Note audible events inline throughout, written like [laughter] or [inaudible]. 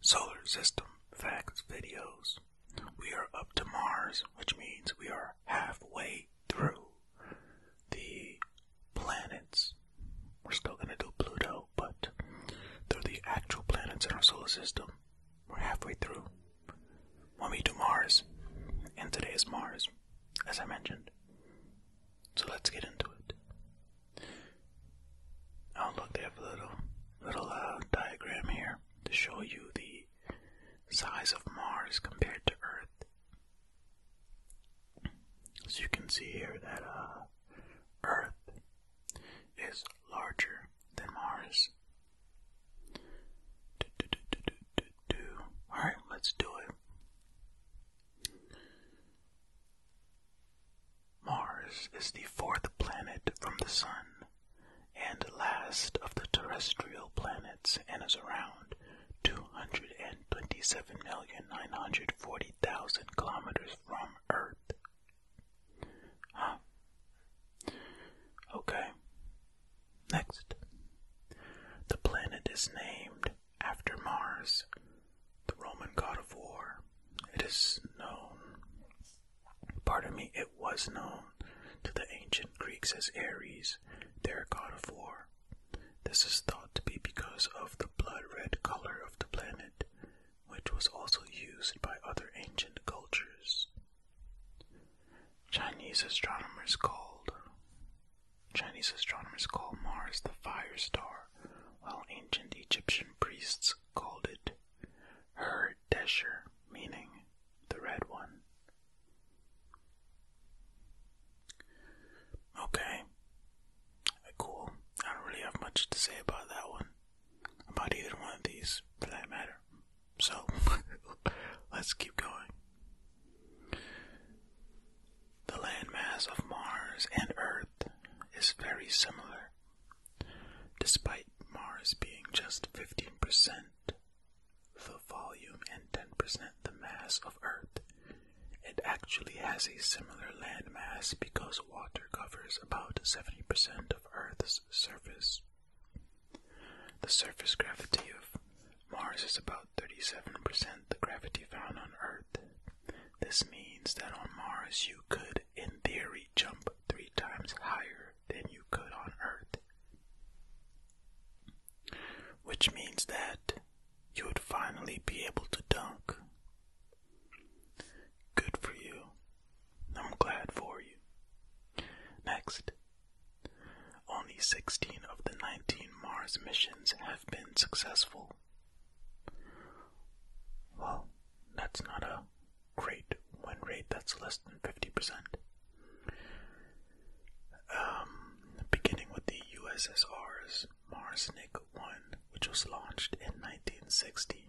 solar system facts videos. We are up to Mars, which means we are halfway through the planets. We're still going to do Pluto, but through the actual planets in our solar system, we're halfway through. When we do Mars, and today is Mars, as I mentioned. So let's get into it. I'll look, they have a little, little uh, diagram here to show you the size of Mars compared to Earth. So you can see here that uh, Earth is larger than Mars. Do, do, do, do, do, do. All right, let's do it. Mars is the fourth planet from the Sun and last of the terrestrial planets and is around 227,940,000 kilometers from Earth. Huh. Okay. Next. The planet is named after Mars, the Roman god of war. It is known Pardon me, it was known to the ancient Greeks as Ares, their god of war. This is thought to be because of the blood red color of the planet, which was also used by other ancient cultures. Chinese astronomers called Chinese astronomers call Mars the fire star, while ancient Egyptian priests called it her Desher, meaning the red one. Okay, cool. I don't really have much to say about that one, about either one of these for that matter. So, [laughs] let's keep going. The landmass of Mars and Earth is very similar Despite Mars being just 15% the volume and 10% the mass of Earth, it actually has a similar landmass because water covers about 70% of Earth's surface. The surface gravity of Mars is about 37% the gravity found on Earth, this means that on Mars you could, in theory, jump three times higher than you could on Earth. Which means that you would finally be able to dunk. Good for you. I'm glad for you. Next. Only 16 of the 19 Mars missions have been successful. Well, that's not a great win rate, that's less than 50%. Um, beginning with the USSR's Marsnik 1, which was launched in 1960,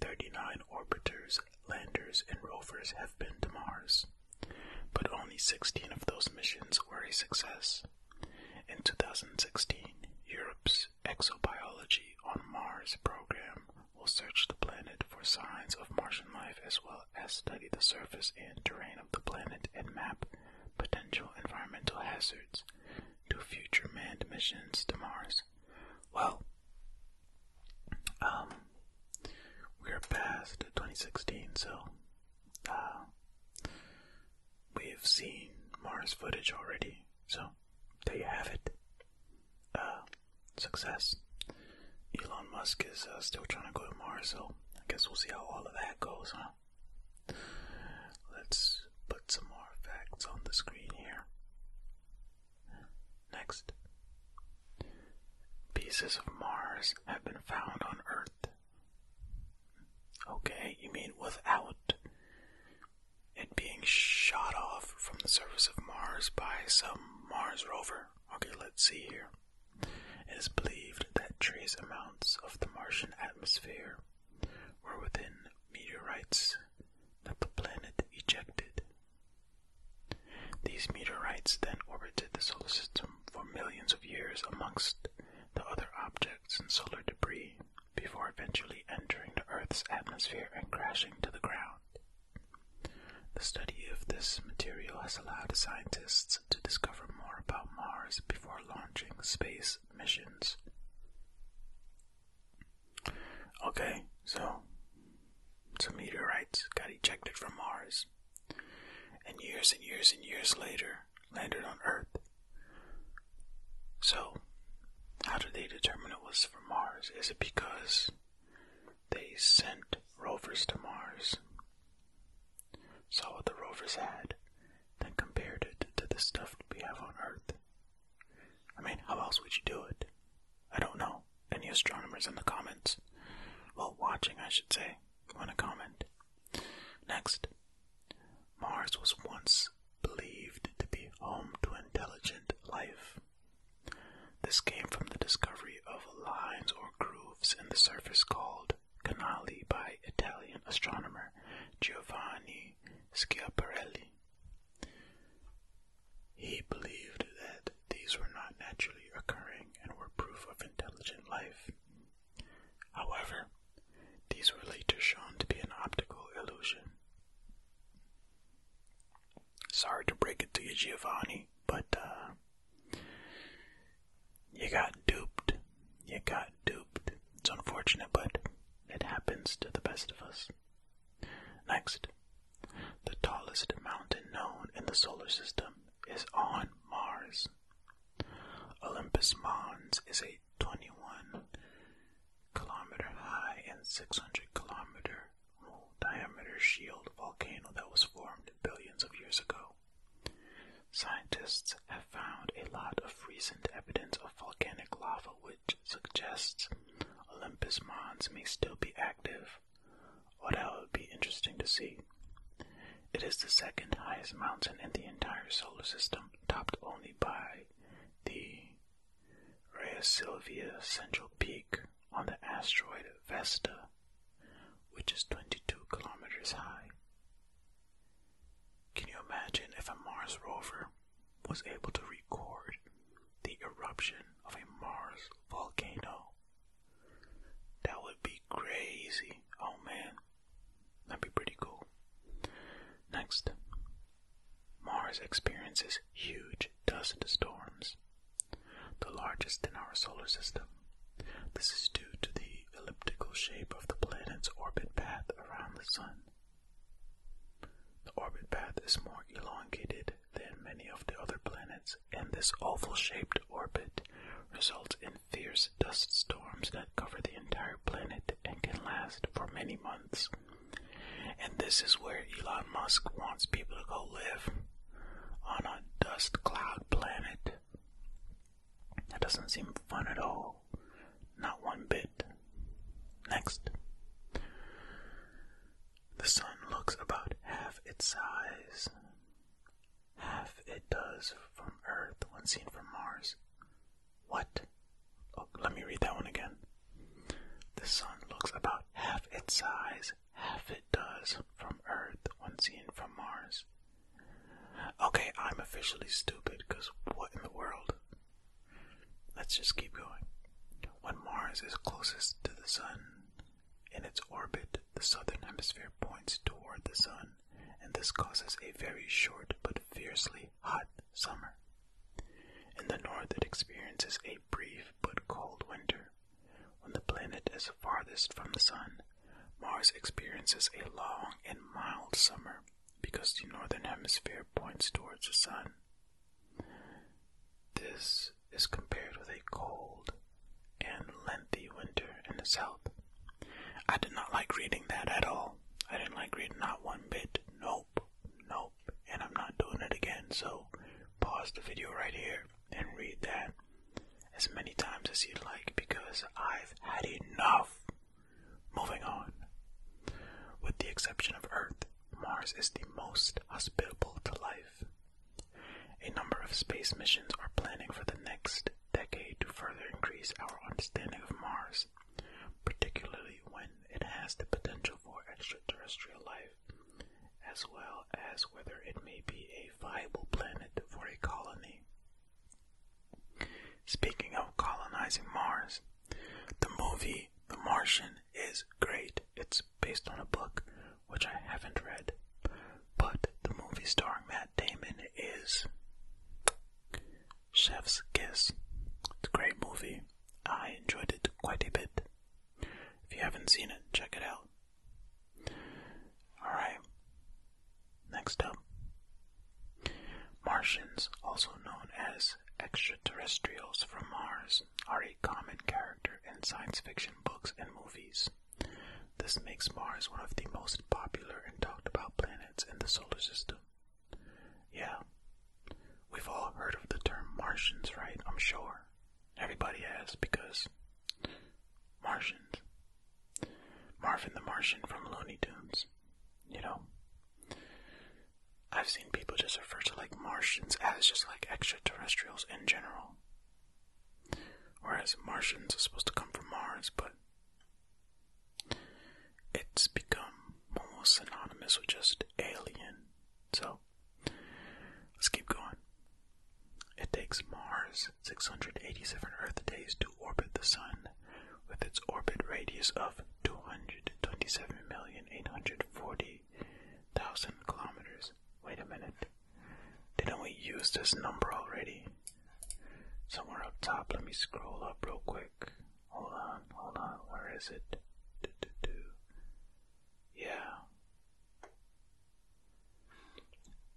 39 orbiters, landers, and rovers have been to Mars, but only 16 of those missions were a success. In 2016, Europe's Exobiology on Mars program will search the planet for signs of Martian life as well as study the surface and terrain of the planet and map potential environmental hazards to future manned missions to Mars. Well, um, we're past 2016, so uh, we've seen Mars footage already, so there you have it. Uh, success. Elon Musk is uh, still trying to go to Mars, so I guess we'll see how all of that goes, huh? Let's put some more facts on the screen here. Next. Pieces of Mars have been found on Earth. Okay, you mean without it being shot off from the surface of Mars by some Mars rover. Okay, let's see here. It is believed that trace amounts of the Martian atmosphere were within meteorites that the planet ejected. These meteorites then orbited the solar system for millions of years amongst the other objects and solar debris before eventually entering the Earth's atmosphere and crashing to the ground. The study of this material has allowed scientists to discover more about Mars before launching space missions. Okay, so some meteorites got ejected from Mars. And years and years and years later, landed on Earth. So, how did they determine it was from Mars? Is it because they sent rovers to Mars, saw what the rovers had, then compared it to the stuff we have on Earth? I mean, how else would you do it? I don't know. Any astronomers in the comments? Well, watching, I should say, want to comment. Next, Mars was once believed to be home to intelligent life. This came from the discovery of lines or grooves in the surface called canali by Italian astronomer Giovanni Schiaparelli. He believed that these were not naturally occurring and were proof of intelligent life, However, these were later shown to be an optical illusion. Sorry to break it to you, Giovanni, but uh, you got duped. You got duped. It's unfortunate, but it happens to the best of us. Next, the tallest mountain known in the solar system is on Mars. Olympus Mons is a 21 kilometer high and 600 kilometer diameter shield volcano that was formed billions of years ago. Scientists have found a lot of recent evidence of volcanic lava which suggests Olympus Mons may still be active. Oh, that would be interesting to see. It is the second highest mountain in the entire solar system topped only by the Rhea Central Peak on the asteroid Vesta, which is 22 kilometers high. Can you imagine if a Mars rover was able to record the eruption of a Mars volcano? That would be crazy. Oh man, That'd be pretty cool. Next, Mars experiences huge dust storms, the largest in our solar system. This is due to the elliptical shape of the planet's orbit path around the Sun. The orbit path is more elongated than many of the other planets, and this oval shaped orbit results in fierce dust storms that cover the entire planet and can last for many months. And this is where Elon Musk wants people to go live on a dust cloud planet. That doesn't seem fun at all. Not one bit. Next. The sun looks about half its size. Half it does from Earth when seen from Mars. What? Oh, let me read that one again. The sun looks about half its size, half it does from Earth when seen from Mars. Okay, I'm officially stupid because what in the world? Let's just keep going. When Mars is closest to the sun in its orbit, the southern hemisphere points toward the sun and this causes a very short but fiercely hot summer. In the north, it experiences a brief but cold winter. When the planet is farthest from the sun, Mars experiences a long and mild summer because the northern hemisphere points towards the sun. This is compared with a cold and lengthy winter in the south. I did not like reading that at all. I didn't like reading that one bit. Nope. Nope. And I'm not doing it again, so pause the video right here and read that as many times as you'd like because I've had enough. Moving on. With the exception of Earth, Mars is the most hospitable to life. A number of space missions are planning for the next decade to further increase our understanding of Mars, particularly when it has the potential for extraterrestrial life, as well as whether it may be a viable planet for a colony. Speaking of colonizing Mars, the movie The Martian is great. It's based on a book which I haven't read, but the movie starring Matt Damon is Chef's Kiss. It's a great movie. I enjoyed it quite a bit. If you haven't seen it, check it out. Alright. Next up Martians, also known as extraterrestrials from Mars, are a common character in science fiction books and movies. This makes Mars one of the most popular and talked about planets in the solar system. Yeah, we've all heard of the term Martians, right? I'm sure. Everybody has, because Martians. Marvin the Martian from Looney Tunes, you know? I've seen people just refer to like Martians as just like extraterrestrials in general. Whereas Martians are supposed to come from Mars, but it's become almost synonymous with just alien. So let's keep going. It takes Mars 687 Earth days to orbit the Sun, with its orbit radius of 227,840,000 kilometers. Wait a minute. Didn't we use this number already? Somewhere up top, let me scroll up real quick. Hold on, hold on, where is it? Do, do, do. Yeah.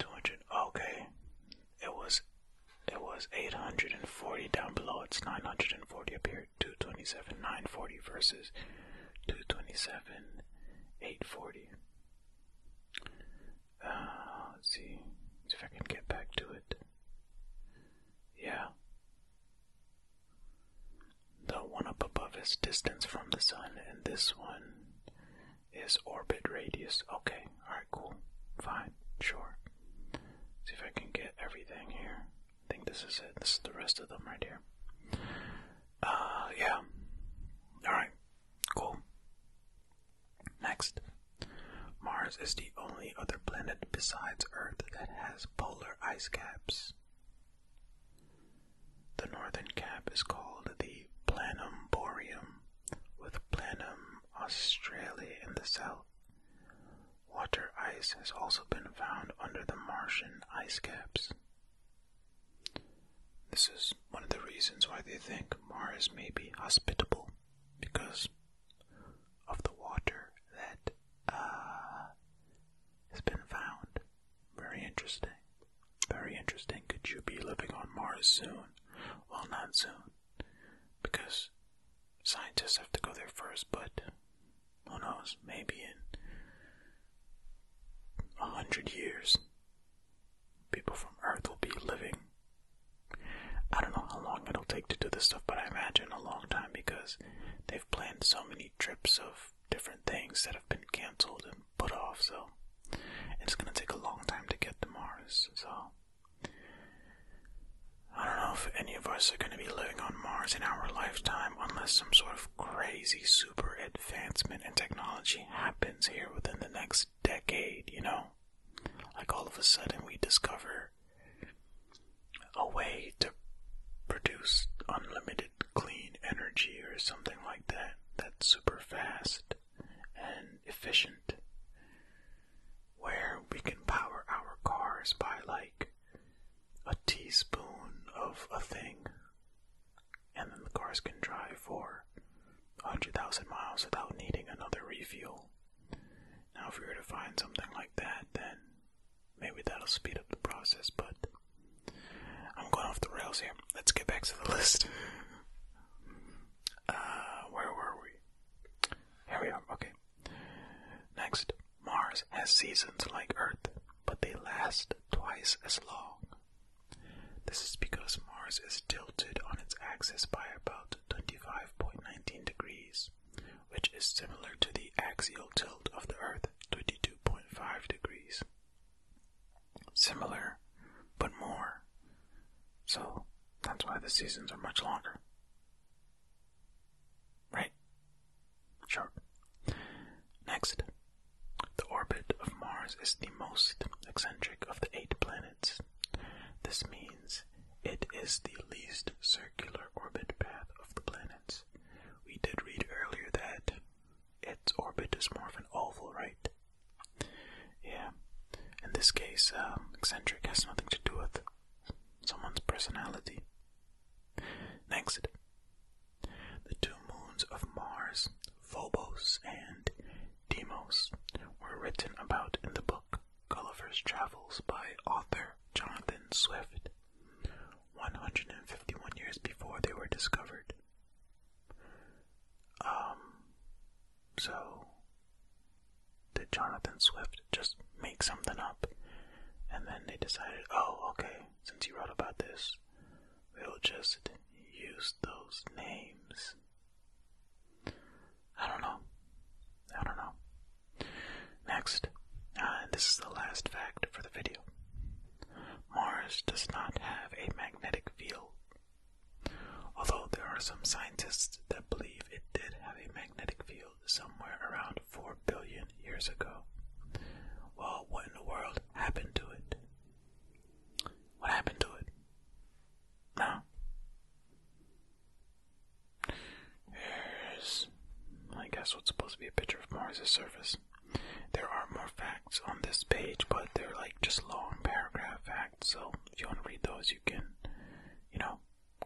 200, okay. It was, it was 840 down below, it's 940 up here, 227, 940 versus 227, 840. Uh, see. if I can get back to it. Yeah. The one up above is distance from the sun, and this one is orbit radius. Okay, alright, cool. Fine, sure. See if I can get everything here. I think this is it. This is the rest of them right here. Uh, yeah. Alright, cool. Next, Mars is the only other planet besides Earth that has polar ice caps. The northern cap is called the Planum Boreum, with Planum Australia in the south. Water ice has also been found under the Martian ice caps. This is one of the reasons why they think Mars may be hospitable because of the water that uh, has been found. Very interesting. Very interesting. Could you be living on Mars soon? Well, not soon, because scientists have to go there first, but who knows? Maybe in a hundred years, people from Earth will be living. I don't know how long it'll take to do this stuff, but I imagine a long time because they've planned so many trips of different things that have been canceled and put off, so it's gonna take a long time to get to Mars, so. I don't know if any of us are going to be living on Mars in our lifetime unless some sort of crazy super advancement in technology happens here within the next decade, you know? Like all of a sudden we discover a way to produce unlimited clean energy or something like that that's super fast and efficient where we can power our cars by like a teaspoon of a thing and then the cars can drive for 100,000 miles without needing another refuel. Now, if we were to find something like that, then maybe that'll speed up the process, but I'm going off the rails here. Let's get back to the [laughs] list. Uh, where were we? Here we are, okay. Next, Mars has seasons like Earth, but they last twice as long. This is because Mars is tilted on its axis by about 25.19 degrees, which is similar to the axial tilt of the Earth, 22.5 degrees. Similar, but more. So that's why the seasons are much longer. Right? Sure. Next, the orbit of Mars is the most eccentric of the eight planets. This means it is the least circular orbit path of the planets. We did read earlier that its orbit is more of an oval, right? Yeah. In this case, um, eccentric has nothing to do with someone's personality. Next, the two moons of Mars, Phobos and Deimos, were written about in the book Gulliver's Travels by author Jonathan Swift, 151 years before they were discovered. Um, so, did Jonathan Swift just make something up? And then they decided, oh, okay, since he wrote about this, we'll just use those names. I don't know. I don't know. Next, uh, and this is the last fact for the video Mars does not have a magnetic field. Although there are some scientists that believe it did have a magnetic field somewhere around 4 billion years ago. Well, what in the world happened to it? What happened to it? No. Here's, I guess, what's supposed to be a picture of Mars' surface. There are more facts on this page, but they're like just long paragraph facts, so if you want to read those, you can, you know,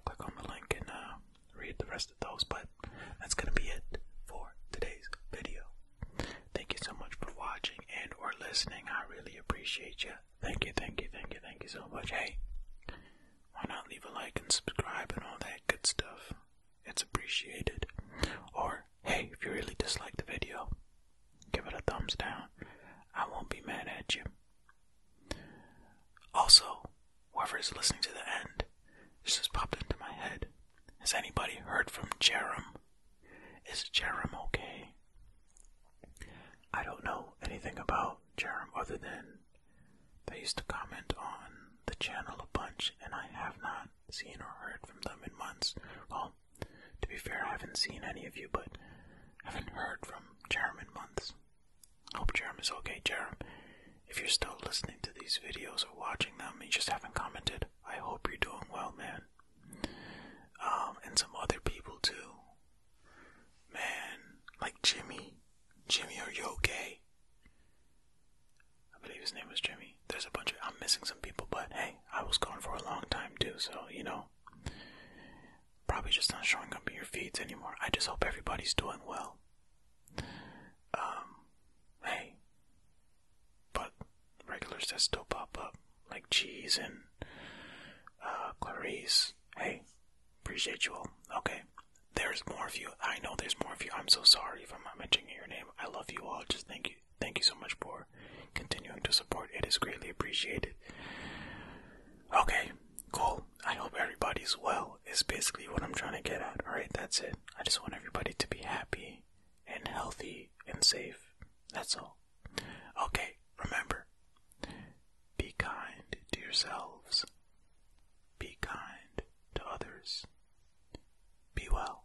click on the link and uh, read the rest of those. But that's going to be it for today's video. Thank you so much for watching and or listening. I really appreciate you. Thank you, thank you, thank you, thank you so much. Hey, why not leave a like and subscribe and all that good stuff? It's appreciated. Or, hey, if you really dislike the video, give it a thumbs down. I won't be mad at you. Also, whoever is listening to the end, this just popped into my head. Has anybody heard from Jerem? Is Jerem okay? I don't know anything about Jerem other than they used to comment on the channel a bunch, and I have not seen or heard from them in months. Well, to be fair, I haven't seen any of you, but I haven't heard from Jerem in months. Hope Jerem is okay, Jerem. If you're still listening to these videos or watching them and you just haven't commented, I hope you're doing well, man. Um, and some other people too. Man, like Jimmy. Jimmy, are you okay? I believe his name was Jimmy. There's a bunch of I'm missing some people, but hey, I was gone for a long time too, so you know. Probably just not showing up in your feeds anymore. I just hope everybody's doing well. Um, hey, but regulars that still pop up, like Cheese and uh, Clarice. Hey, appreciate you all. Okay, there's more of you. I know there's more of you. I'm so sorry if I'm not mentioning your name. I love you all. Just thank you, thank you so much for continuing to support. It is greatly appreciated. Okay, cool. I hope everybody's well. Is basically what I'm trying to get at. All right, that's it. I just want everybody to be happy and healthy and safe. That's all. Okay, remember be kind to yourselves, be kind to others, be well.